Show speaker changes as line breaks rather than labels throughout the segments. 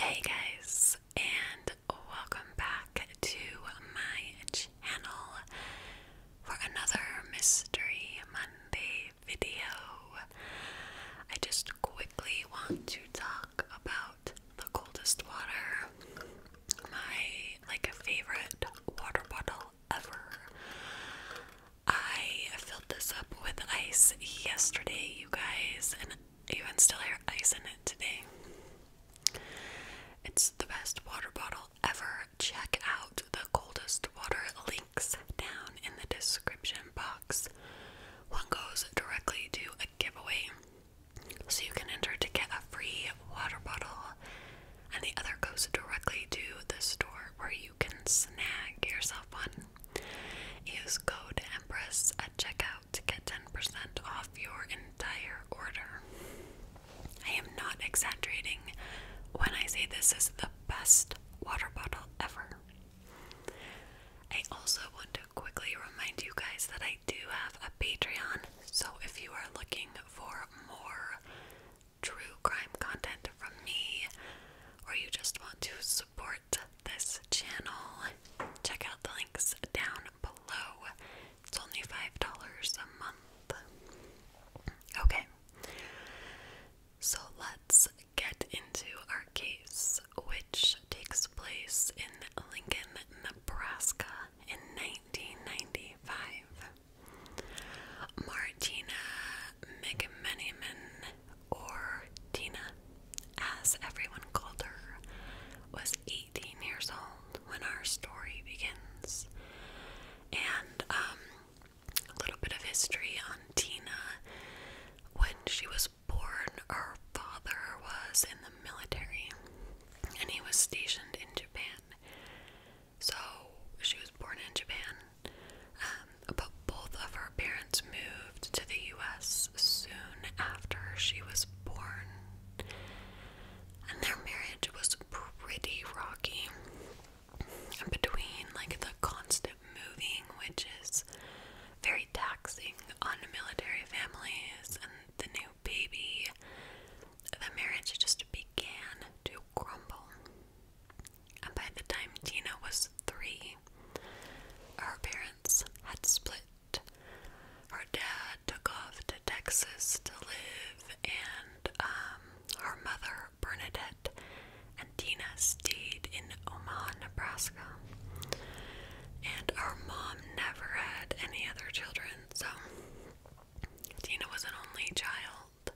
Hey guys, and welcome back to my channel for another Mystery Monday video. I just quickly want to talk about the coldest water, my like favorite water bottle ever. I filled this up with ice yesterday, you guys, even still have ice in it today. It's the best water bottle ever. Check out the coldest water links down in the description box. One goes directly to a giveaway, so you can enter to get a free water bottle, and the other goes directly to the store where you can snag yourself one Use code EMPRESS at checkout to get 10% off your entire order. I am not exaggerating when I say this is the best water bottle ever. I also want to quickly remind you guys that I do have a Patreon, so if you are looking for more true crime content from me, or you just want to support this channel, check out the links down below. It's only $5 a month. Okay, so let's get into our case, which takes place in Lincoln, Nebraska in 1995. Martina McMeniman or Tina, as everyone called her, was 18 years old when our story begins. And um, a little bit of history on Tina. When she was born, her father was in the military and he was stationed in Japan. So she was born in Japan. Uh, but both of her parents moved to the US soon after she was born. And their marriage was pretty rocky. Between like the constant moving, which is very taxing on military families, and the new baby, the marriage just began to crumble. And by the time Tina was three, family. Her parents had split. Her dad took off to Texas to live, and um, her mother, Bernadette, and Tina stayed in Omaha, Nebraska. And her mom never had any other children, so Tina was an only child.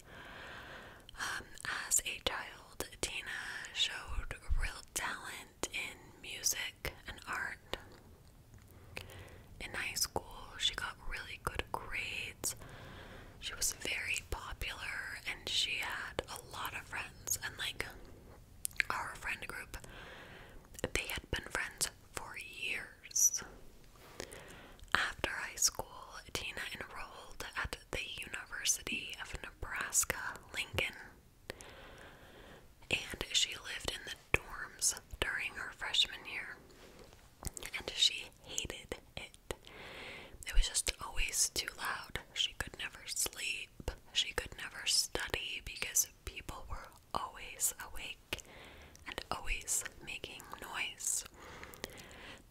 Um, as a child, Tina showed real talent in music and art. In high school, she got really good grades. She was very popular and she had a lot of friends. And, like, our friend group, they had been friends for years. After high school, Tina enrolled at the University of Nebraska Lincoln. And she lived in the dorms during her freshman year. And she hated it. It was just always too loud. She could never sleep. She could never study because people were always awake and always making noise.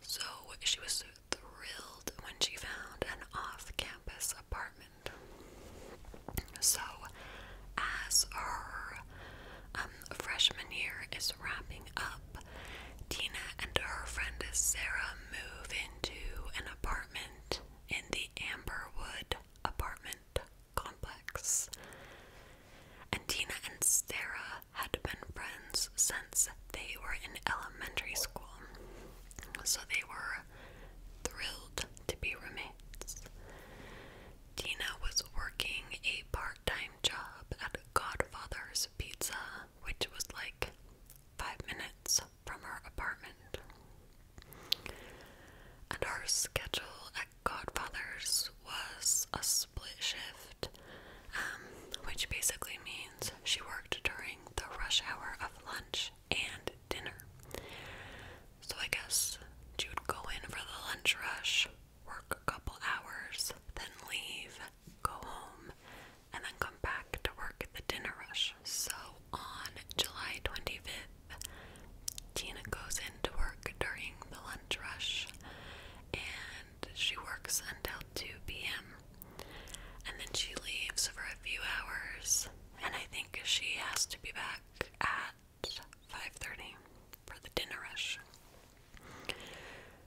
So she was thrilled when she found an off campus apartment. So, as her um, freshman year is wrapping up, Tina and her friend Sarah move into an apartment in the Amberwood apartment complex. And Tina and Sarah had been friends since they were in elementary school so they were thrilled to be roommates. Tina was working a part time job at Godfather's Pizza, which was like five minutes from her apartment. And her schedule at Godfather's was a split shift, um, which basically means she worked during the rush hour of lunch and dinner. So I guess she would go in for the lunch rush, work a couple hours, then leave, go home, and then come back to work at the dinner rush. So on July 25th, Tina goes into work during the lunch rush and she works until 2 p.m. And then she leaves for a few hours, and I think she has to be back at 5:30 for the dinner rush.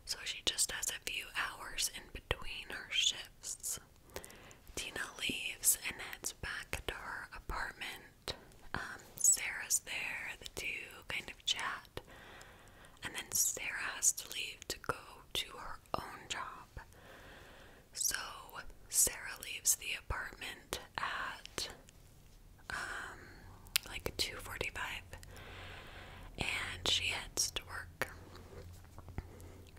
So she just has a few hours in between her shifts. Tina leaves and heads back to her apartment. Um, Sarah's there, the two kind of chat, and then Sarah has to leave to go to her own job. So Sarah leaves the apartment at um like 2:45 and she heads to work.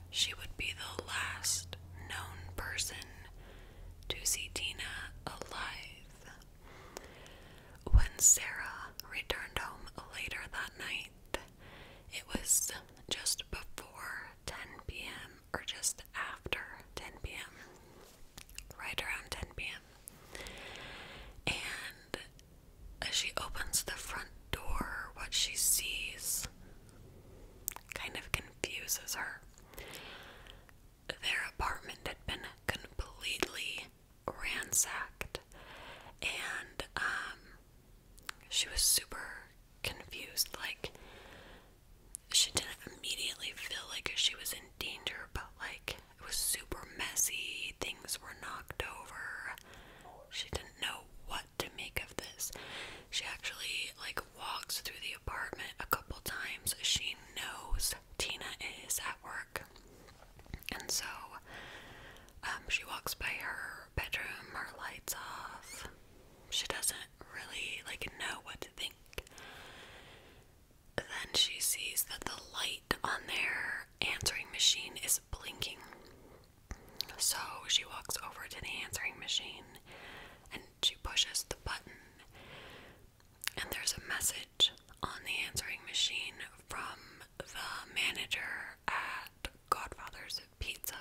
She would be the last known person to see Tina alive. When Sarah returned home later that night, it was just before 10 p.m. or just after 10 p.m., right around 10 p.m. And as she opens the front door, what she sees kind of confuses her. Their apartment had been completely ransacked, and um, she was super confused. Like, she didn't immediately feel like she was in danger, but like, it was super messy. Things were knocked over. She didn't know what to make of this. She actually, like, walks through the apartment a couple times. She knows Tina is at work. And so um, she walks by her bedroom, her lights off. She doesn't really like know what to think. Then she sees that the light on their answering machine is blinking. So she walks over to the answering machine and she pushes the button. And there's a message on the answering machine from the manager at Godfather's Pizza,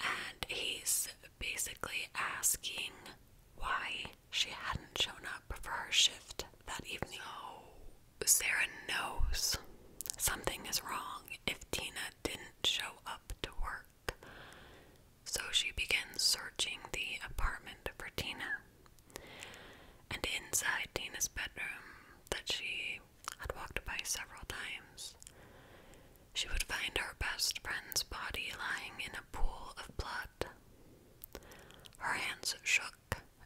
and he's basically asking why she hadn't shown up for her shift that evening. Sarah knows something is wrong if Tina didn't show up to work. So she begins searching the apartment for Tina and inside Tina's bedroom that she had walked by several times, she would find her best friend's body lying in a pool of blood. Her hands shook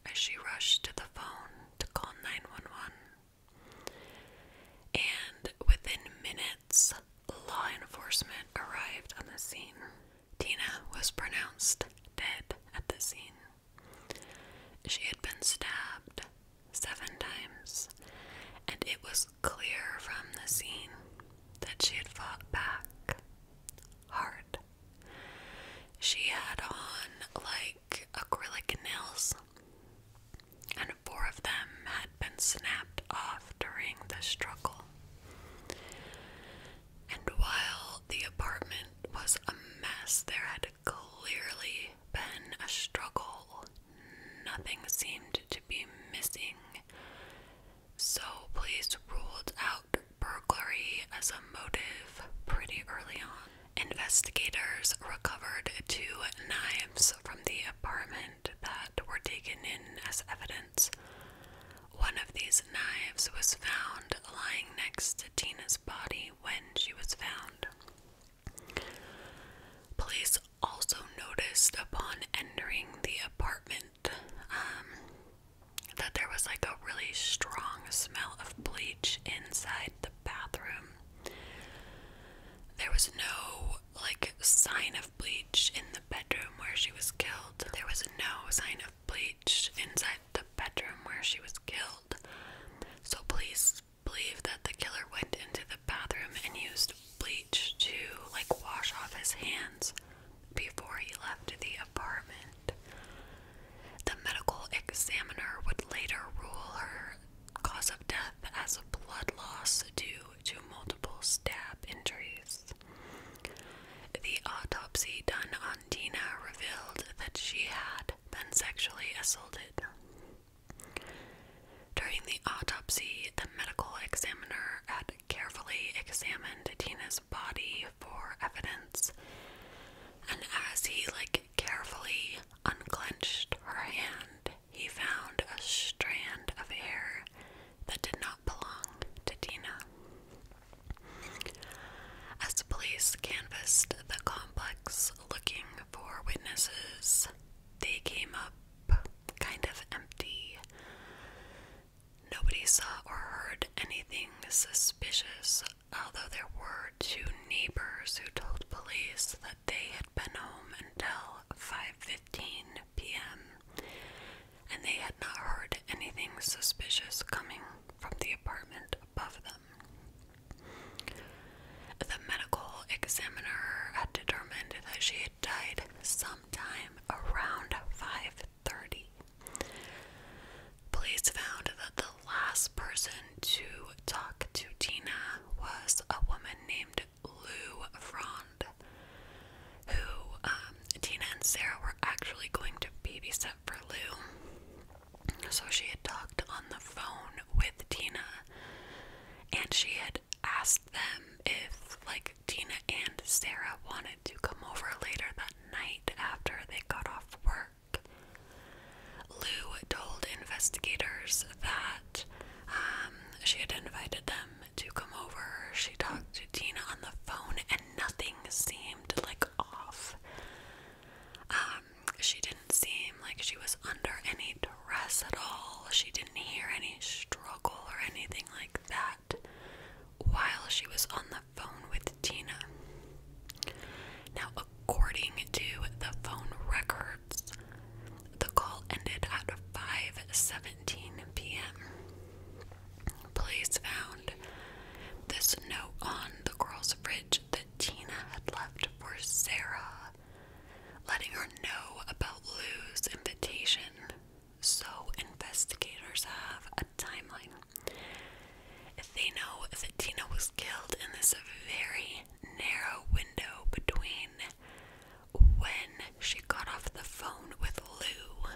as she rushed to the phone to call 911. And within minutes, law enforcement arrived on the scene. Tina was pronounced dead at the scene. She had been stabbed seven times, and it was clear from the scene that she had fought back hard. She had on like acrylic nails, and four of them had been snapped off during the struggle. And while the apartment was a mess. There had clearly been a struggle. Nothing seemed to be missing. So, police ruled out burglary as a motive pretty early on. Investigators recovered two knives from the apartment that were taken in as evidence. One of these knives was found lying next to Tina's body when she was found. Police also noticed upon entering the apartment um, that there was like a really strong smell of bleach inside the bathroom. There was no like sign of bleach in the bedroom where she was killed. There was no sign of of bleach inside the bedroom where she was killed. So police believe that the killer went into the bathroom and used bleach to like wash off his hands before he left the apartment. The medical examiner would later rule her cause of death as a blood loss due to multiple stab injuries. The autopsy done on Valentina revealed that she had been sexually assaulted. During the autopsy, the medical examiner had carefully examined Tina's body for evidence, and as he like carefully unclenched her hand, he found a strand of hair that did not belong to Tina. As police canvassed the complex looking for witnesses, they came up kind of empty. Nobody saw or heard anything suspicious, although there were two neighbors who told police that they had been home until 5:15 p.m. and they had not heard anything suspicious coming from the apartment above them. The medical examiner had determined that she had died sometime around 5:30. Police found that the last person to talk to Tina was a woman named Lou Frond, who um, Tina and Sarah were actually going to babysit for Lou. So she had talked on the phone with Tina and she had asked them if, like, Tina and Sarah wanted to come over later that night after they got off work. Lou told investigators that um, she had invited them to come over. She talked to Tina on the phone and nothing seemed like off. Um, she didn't seem like she was under any duress at all. She didn't hear any struggle or anything like that while she was on the phone with Tina. Now, according to the phone records, the call ended at 5:17 p.m. Police found this note on the girl's fridge that Tina had left for Sarah, letting her know about Lou's invitation. So, investigators have a timeline. They know that Tina was killed in this very narrow window between when she got off the phone with Lou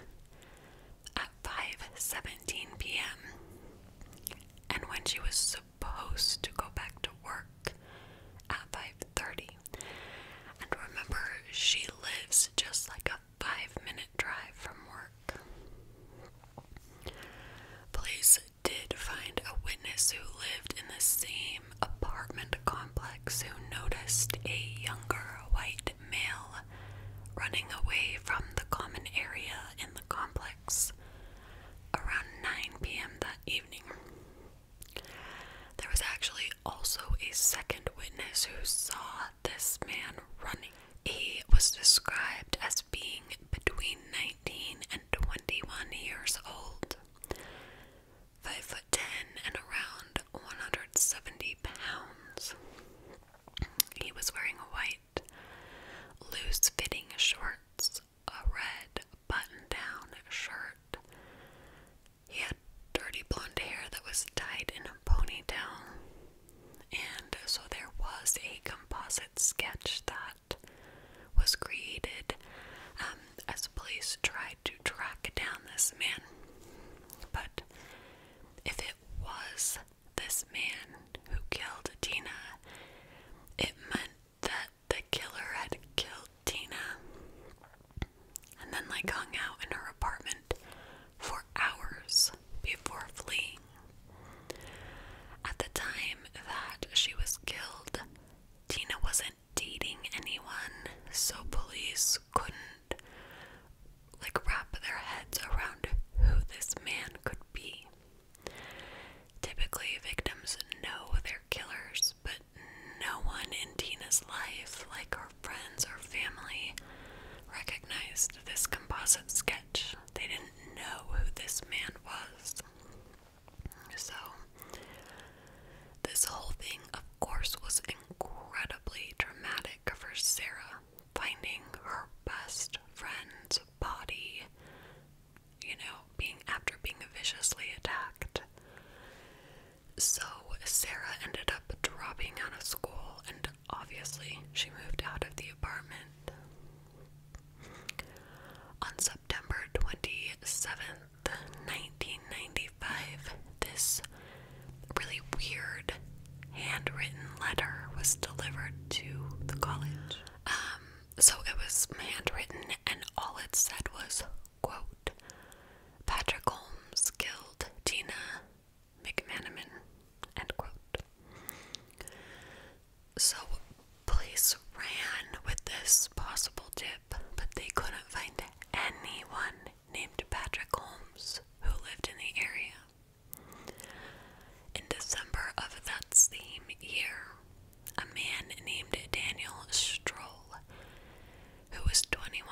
5:17 p.m. and when she was supposed to go back to work at 5:30. And remember, she lives just like a 5-minute drive from work. Police did find a witness who lived in the same apartment complex who noticed a younger white male running away from the common area in the complex around 9 p.m. that evening. There was actually also a second witness who saw this man running. He was described as being between 19 and 21 years old, 5 foot 10 and around 170 pounds. He was wearing a white, loose fitting shorts, a red button down shirt. He had dirty blonde hair that was tied in a ponytail. And so there was a composite sketch that was created um, as police tried to track down this man. But if it was this man who killed Tina, it meant that the killer had killed Tina and then, like, hung out in her apartment for hours before fleeing. At the time that she was killed, Tina wasn't dating anyone, so police couldn't like wrap their heads around who this man could be. Typically, victims know their killers, but no one in Tina's life, like her friends or family, recognized this composite sketch. They didn't know who this man was. So, this whole thing, of course, was incredibly dramatic for Sarah finding her best friend's body, you know, being after being viciously attacked. So Sarah ended up dropping out of school and obviously she moved out of the apartment. On September 27th, 1995, this this really weird handwritten letter was delivered to the college. Um, so it was handwritten, and all it said was, quote, Patrick Holmes killed Tina McManaman, end quote. So police ran with this possible tip, but they couldn't find anyone named Patrick Holmes who lived in the area. In December of that same year, a man named Daniel Stroll, who was 21,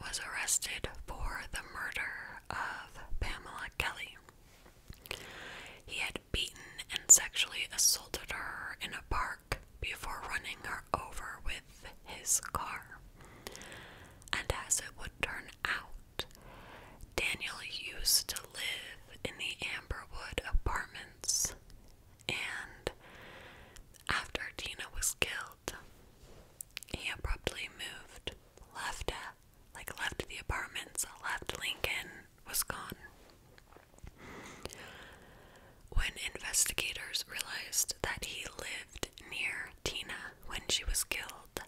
was arrested for the murder of Pamela Kelly. He had beaten and sexually assaulted her in a park before running her over with his car. And as it would turn out. Daniel used to live in the Amberwood apartments, and after Tina was killed, he abruptly moved, left, uh, like left the apartments, left Lincoln, was gone. When investigators realized that he lived near Tina, when she was killed.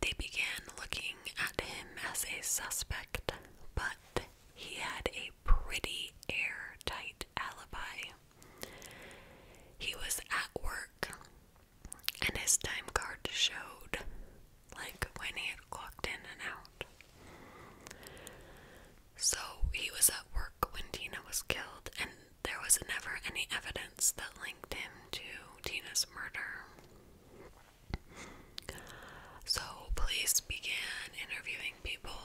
They began looking at him as a suspect, but he had a pretty airtight alibi. He was at work, and his time card showed, like when he had clocked in and out. So he was at work when Tina was killed, and there was never any evidence that linked him to Tina's murder. So, police began interviewing people.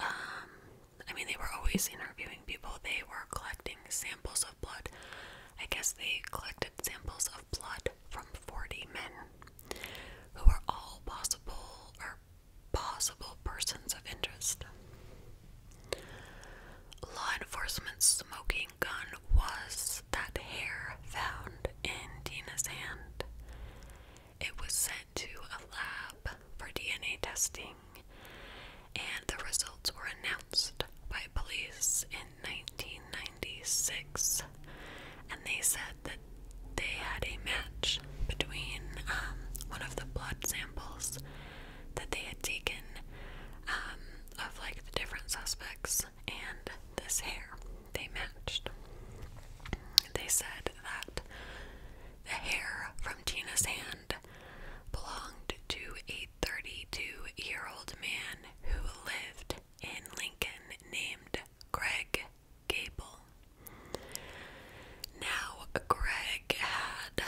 Um, I mean, they were always interviewing people, they were collecting samples of blood. I guess they collected samples of blood from 40 men who were all possible or possible persons of interest. Law enforcement's smoking gun was that hair found in Dina's hand. It was sent to a lab for DNA testing, and the results were announced by police in 1996. And they said that they had a match between um, one of the blood samples that they had taken um, of like the different suspects and this hair. They matched. They said that the hair from Tina's hand belonged to a 32 year old man who lived in Lincoln named Greg Gable. Now, Greg had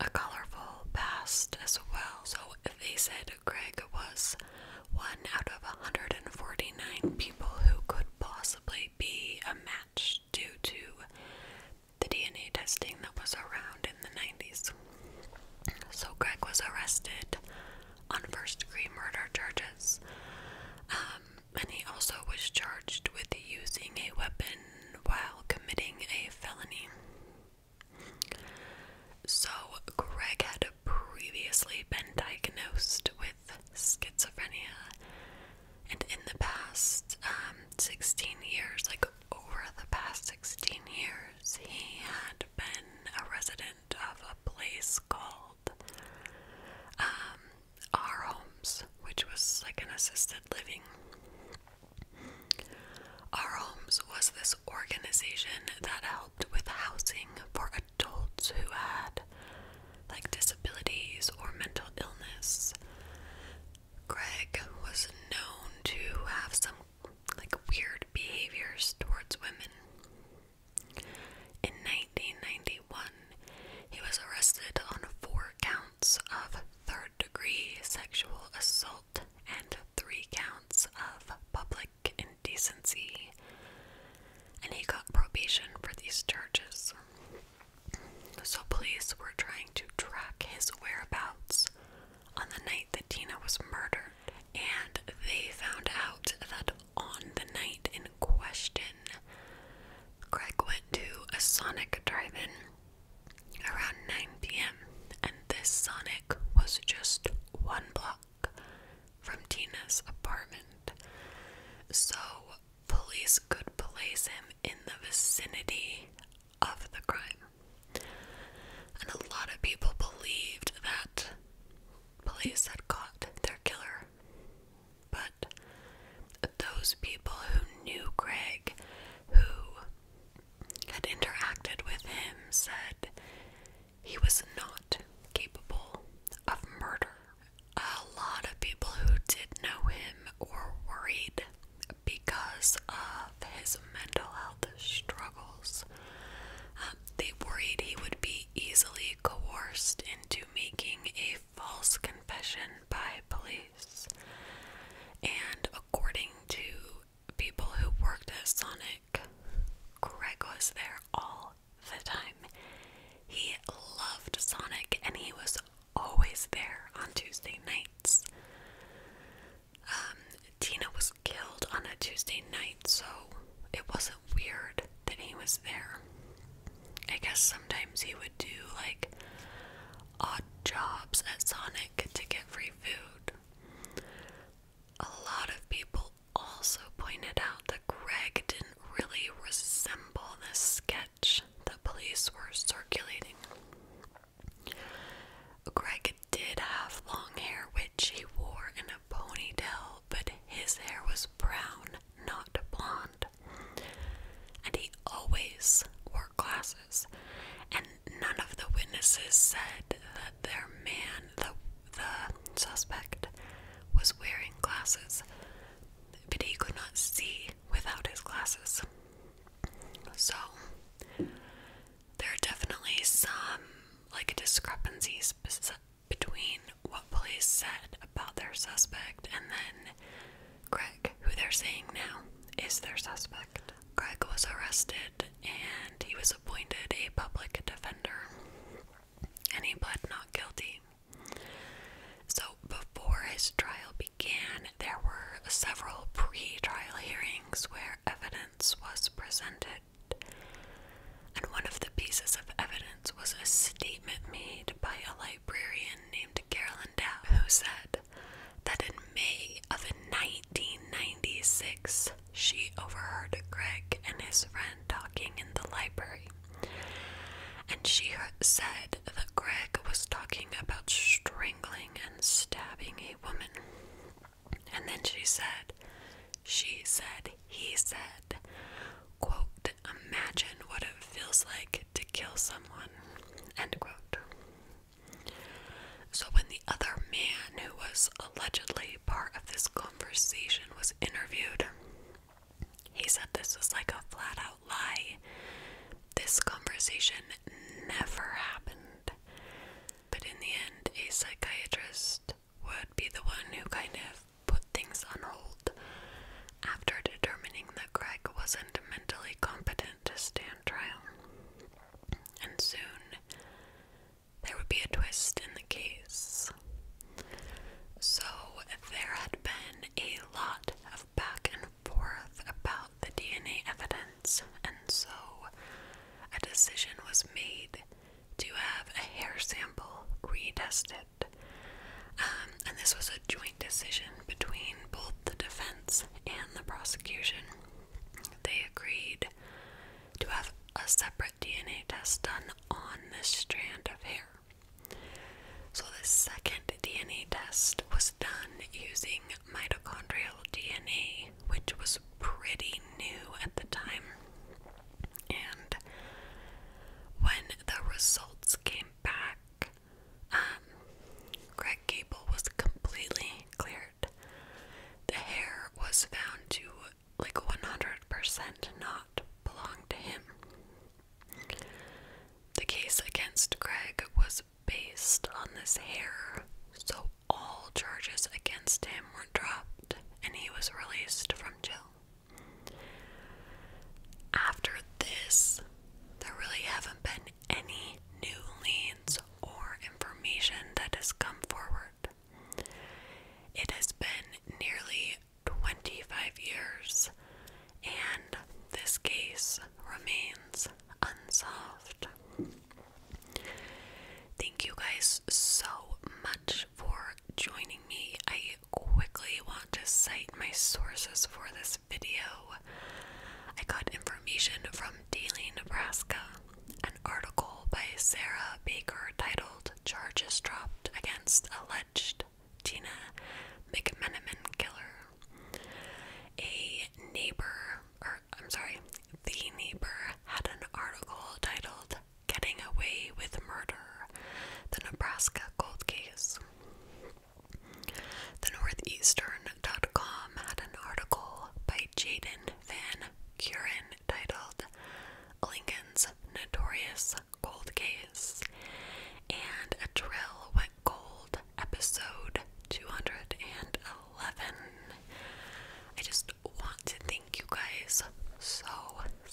a colorful past as well. So they said Greg was one out of 149 people who could possibly be a match due to the DNA testing that was around in the 90s. So Greg was arrested on first degree murder charges. Um, and he also was charged with using a weapon while committing a felony. So, Greg had previously been diagnosed with schizophrenia, and in the past um, 16 years, like over the past 16 years, he had been a resident of a place called um, our homes, which was like an assisted living. Our Homes was this organization that helped with housing for adults who had like disabilities or mental illness. Greg was known to have some like weird behaviors towards women. In 1991, he was arrested on four counts of third degree sexual assault and three counts of public indecency. And he got probation for these charges. So, police were trying to track his whereabouts on the night that Tina was murdered, and they found out that on the night in question, Greg went to a Sonic drive in around 9 pm, and this Sonic was just one block from Tina's apartment. So, police could place him in the vicinity of the crime. And a lot of people believed that police had caught their killer but those people who knew Greg, who had interacted with him, said he was not capable of murder. A lot of people who did know him or worried because of his mental health struggles. Um, they worried he would be easily coerced into making a false confession by police. And according to people who worked at Sonic, Greg was there all the time. He loved Sonic and he was always there on Tuesday nights. Um, Tina was killed on a Tuesday night, so it wasn't weird that he was there. I guess sometimes he would would do like odd jobs at Sonic to get free food. A lot of people also pointed out that Greg didn't really resemble the sketch the police were circulating. Greg did have long hair, which he wore in a ponytail, but his hair was brown not blonde. And he always wore glasses. And none of the witnesses said that their man, the, suspect, was wearing glasses, but he could not see without his glasses. So, there are definitely some like discrepancies between what police said about their suspect and then Greg, who they're saying now is their suspect. Greg was arrested and he was appointed a public defender and he pled not guilty. So, before his trial began, there were several pre trial hearings where evidence was presented. And one of the pieces of evidence was a statement made by a librarian named to Carolyn Dow, who said that in May of 1996, she overheard Greg and his friend talking in the library. And she said that Greg was talking about strangling and stabbing a woman. And then she said, she said, he said, imagine what it feels like to kill someone, So, when the other man who was allegedly part of this conversation was interviewed, he said this was like a flat out lie. This conversation never happened. But in the end, a psychiatrist would be the one who kind of put things on hold after determining that Greg wasn't mentally competent to stand trial. And soon there would be a twist in the case. So there had been a lot of back and forth about the DNA evidence, and so a decision was made to have a hair sample retested it. Um, and this was a joint decision between both the defense and the prosecution. They agreed to have a separate DNA test done on this strand of hair. So, the second DNA test was done using mitochondrial DNA, which was pretty new at the time. And when the results came back, um, Greg Gable was completely cleared. The hair was found to like 100% not belong to him. The case against Greg was based on this hair, so all charges against him were dropped and he was released from jail. After this, there really haven't been any new leads or information that has come forward. It has been nearly 25 years, and this case remains unsolved. Thank you guys so much for joining me. I quickly want to cite my sources for this video. I got information from Daily Nebraska, an article by Sarah Baker titled Charges Dropped Against Alleged Tina McMenamin Killer. A neighbor, or I'm sorry, the neighbor had an article titled Getting Away with Murder the Nebraska Gold Case. The Northeastern.com had an article by Jaden Van Curen titled Lincoln's Notorious Gold Case, and a drill went gold episode 211. I just want to thank you guys so,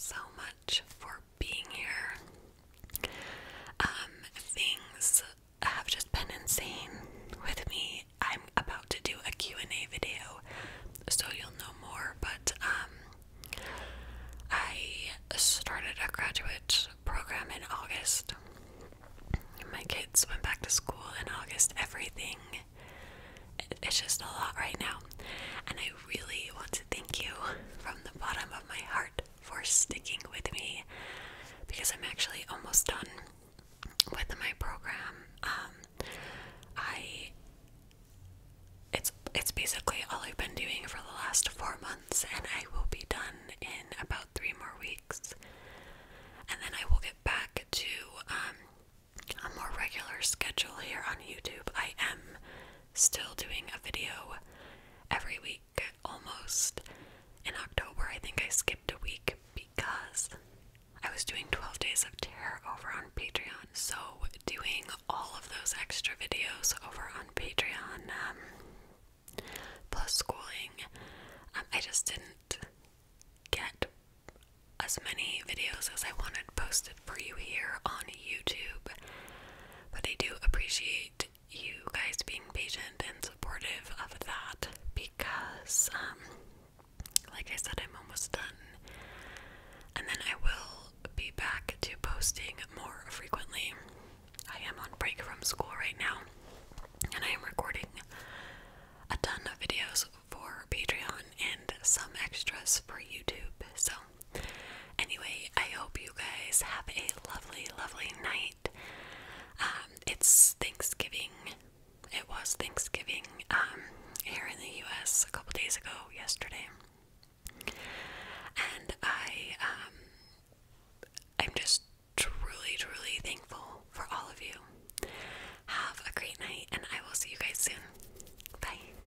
so much for being here. Um, things have just been insane with me. I'm about to do a Q&A video, so you'll know more, but um, I started a graduate program in August. My kids went back to school in August. Everything, it's just a lot right now. And I really want to thank you from the bottom of my heart for sticking with me because I'm actually almost done with my program. Um, I it's it's basically all I've been doing for the last four months, and I will be done in about three more weeks, and then I will get back to um, a more regular schedule here on YouTube. I am still doing a video every week almost. In October, I think I skipped a week because I was doing 12 Days of Terror over on Patreon. So, doing all of those extra videos over on Patreon, um, plus schooling, um, I just didn't get as many videos as I wanted posted for you here on YouTube. But I do appreciate you guys being patient and supportive of that because, um, like I said, I'm almost done. And then I will be back to posting more frequently. I am on break from school right now, and I am recording a ton of videos for Patreon and some extras for YouTube. So Anyway, I hope you guys have a lovely, lovely night. Um, it's Thanksgiving. It was Thanksgiving um, here in the US a couple days ago, yesterday. And I, um, I'm just truly, truly thankful for all of you. Have a great night, and I will see you guys soon. Bye.